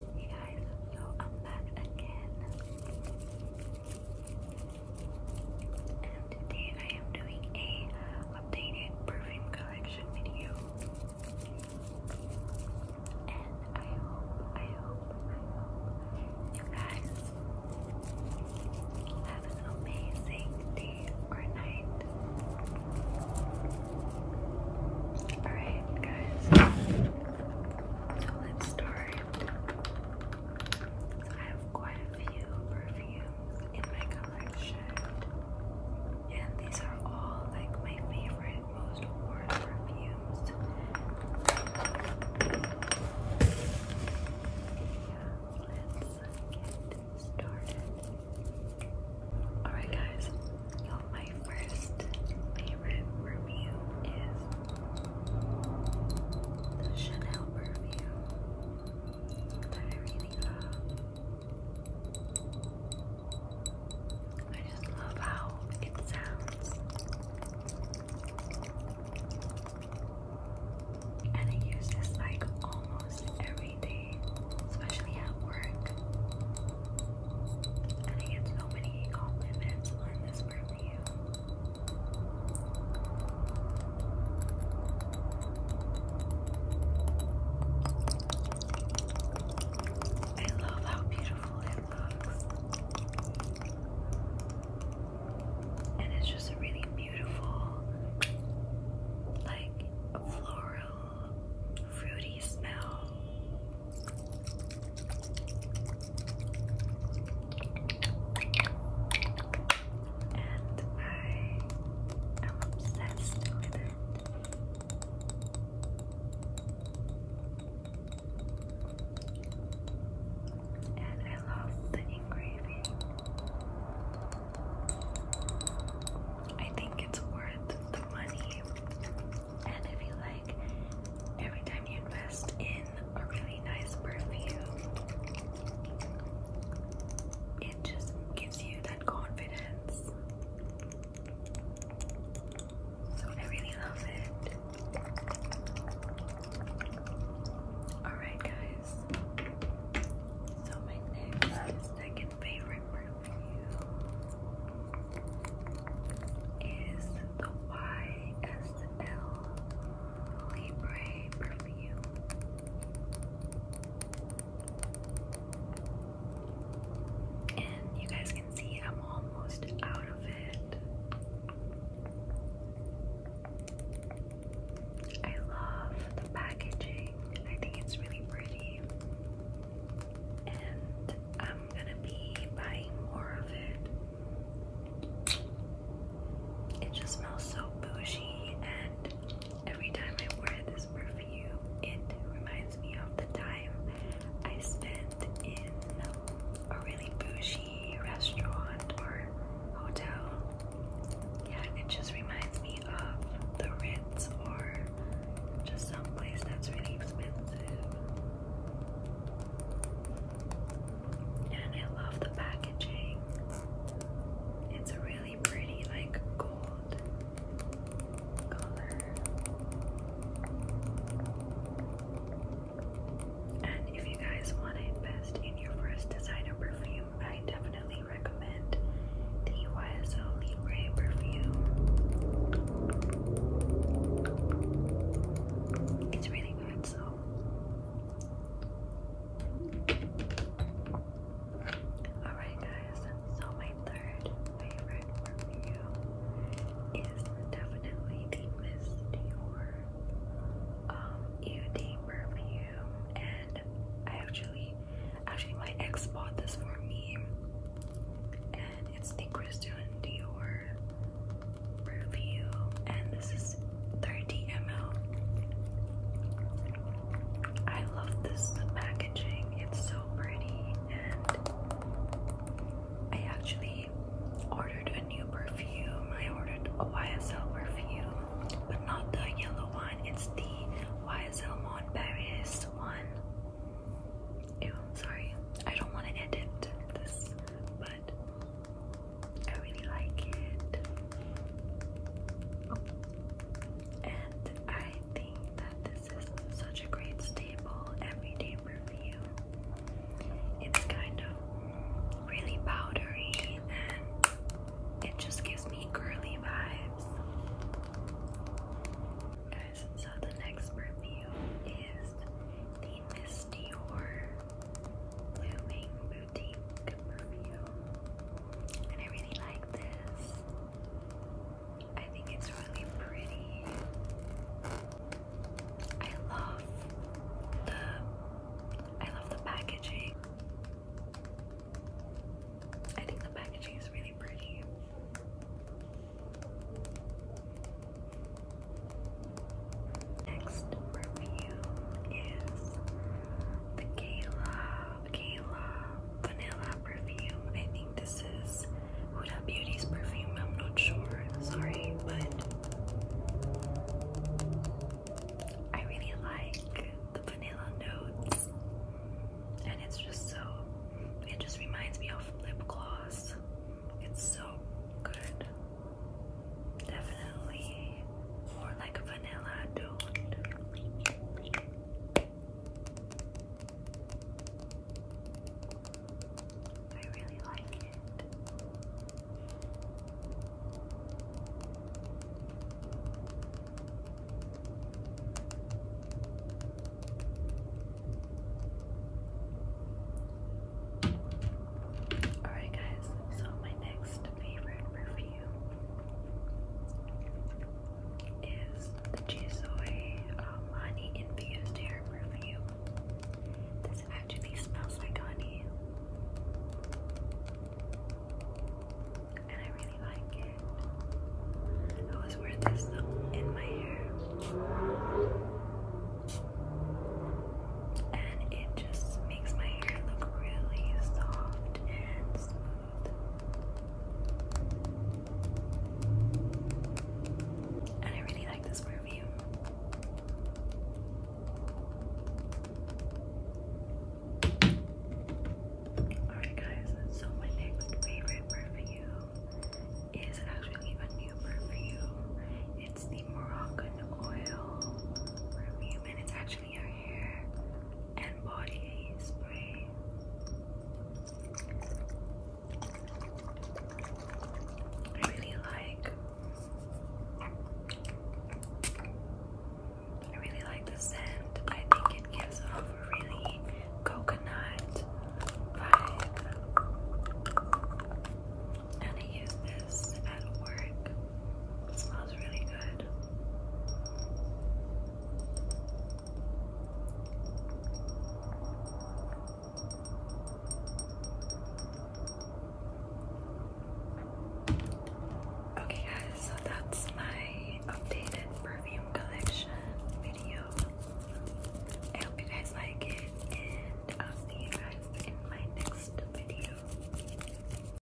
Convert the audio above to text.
Hey guys, so I'm back again. And today I am doing a updated perfume collection video. And I hope, I hope, I hope you guys have an amazing day or night. Alright, guys. So let's start. I have quite a few perfumes in my collection. And these are all like my favorite, most award perfumes. Yeah, let's get started. Alright, guys, my first favorite review is the Chanel perfume that I I just love how it sounds. And I use like almost every every day, especially at work. And I get so many compliments on this perfume. I love how beautiful it looks. And it's just really beautiful, like, floral fruity smell. And I am obsessed with it. And I love the ingredients. I think it's worth the money. And I feel like every time you invest in a really nice perfume, it just gives you that confidence. So I really love it. Alright, guys guys. So my next second favorite perfume is the YSL Libre perfume. And you guys can see I'm almost out of it. I love the packaging. I think it's really pretty. And I'm gonna be buying more of it. It just smells so bougie, and every time I wear this perfume, it reminds me of the time I spent in a really bougie restaurant or hotel yeah, it just reminds me of the Ritz or just some place that's really expensive. And I love the packaging. It's a really pretty, like gold color. And if you guys want to invest in your first designer perfume, I definitely recommend the YSL Libre perfume. It's really good, so Alright guys, so my third favorite perfume is definitely the Miss Dior um, EOD perfume, and I actually, actually my ex bought this for me, and it's the Christian Dior perfume, and this is 30 ml. I love this packaging; it's so pretty, and I actually I ordered a new perfume. I ordered a YSL perfume, but not the yellow one. It's the YSL Mon Paris one. Ew, sorry. I don't want to edit this, but I really like it. And I think that this is such a great staple everyday it's kind of really powdery and it just gives me girly vibes. Guys, so the next review is the Miss Dior Blooming Boutique perfume. And I really like this. I think it's really pretty. I love the I love the packaging. I think the packaging is really pretty. Next review is the Gala Gala Vanilla Perfume. I think this is Huda Beauty's perfume. I'm not sure. Sorry, but I really like the vanilla notes, and it's just so. It just reminds me of lip gloss. It's so good. Definitely more like vanilla dude. I really like it. Alright, guys, so my next favorite perfume is the Jisoy um, infused hair perfume. This actually smells like honey. And I really like it. I always wear this in my hair. And it just makes my hair look really soft and and I really like this perfume. Alright, guys, so my next favorite perfume is actually a new perfume. It's the Moroccan Oil perfume, and it's actually and body spray. I really like I really like the scent. I think it gives off a really coconut vibe. And I use this at work. smells really good. Okay, guys, so that's my updated perfume collection video. I hope you guys like it, and I'll see you guys in my next video.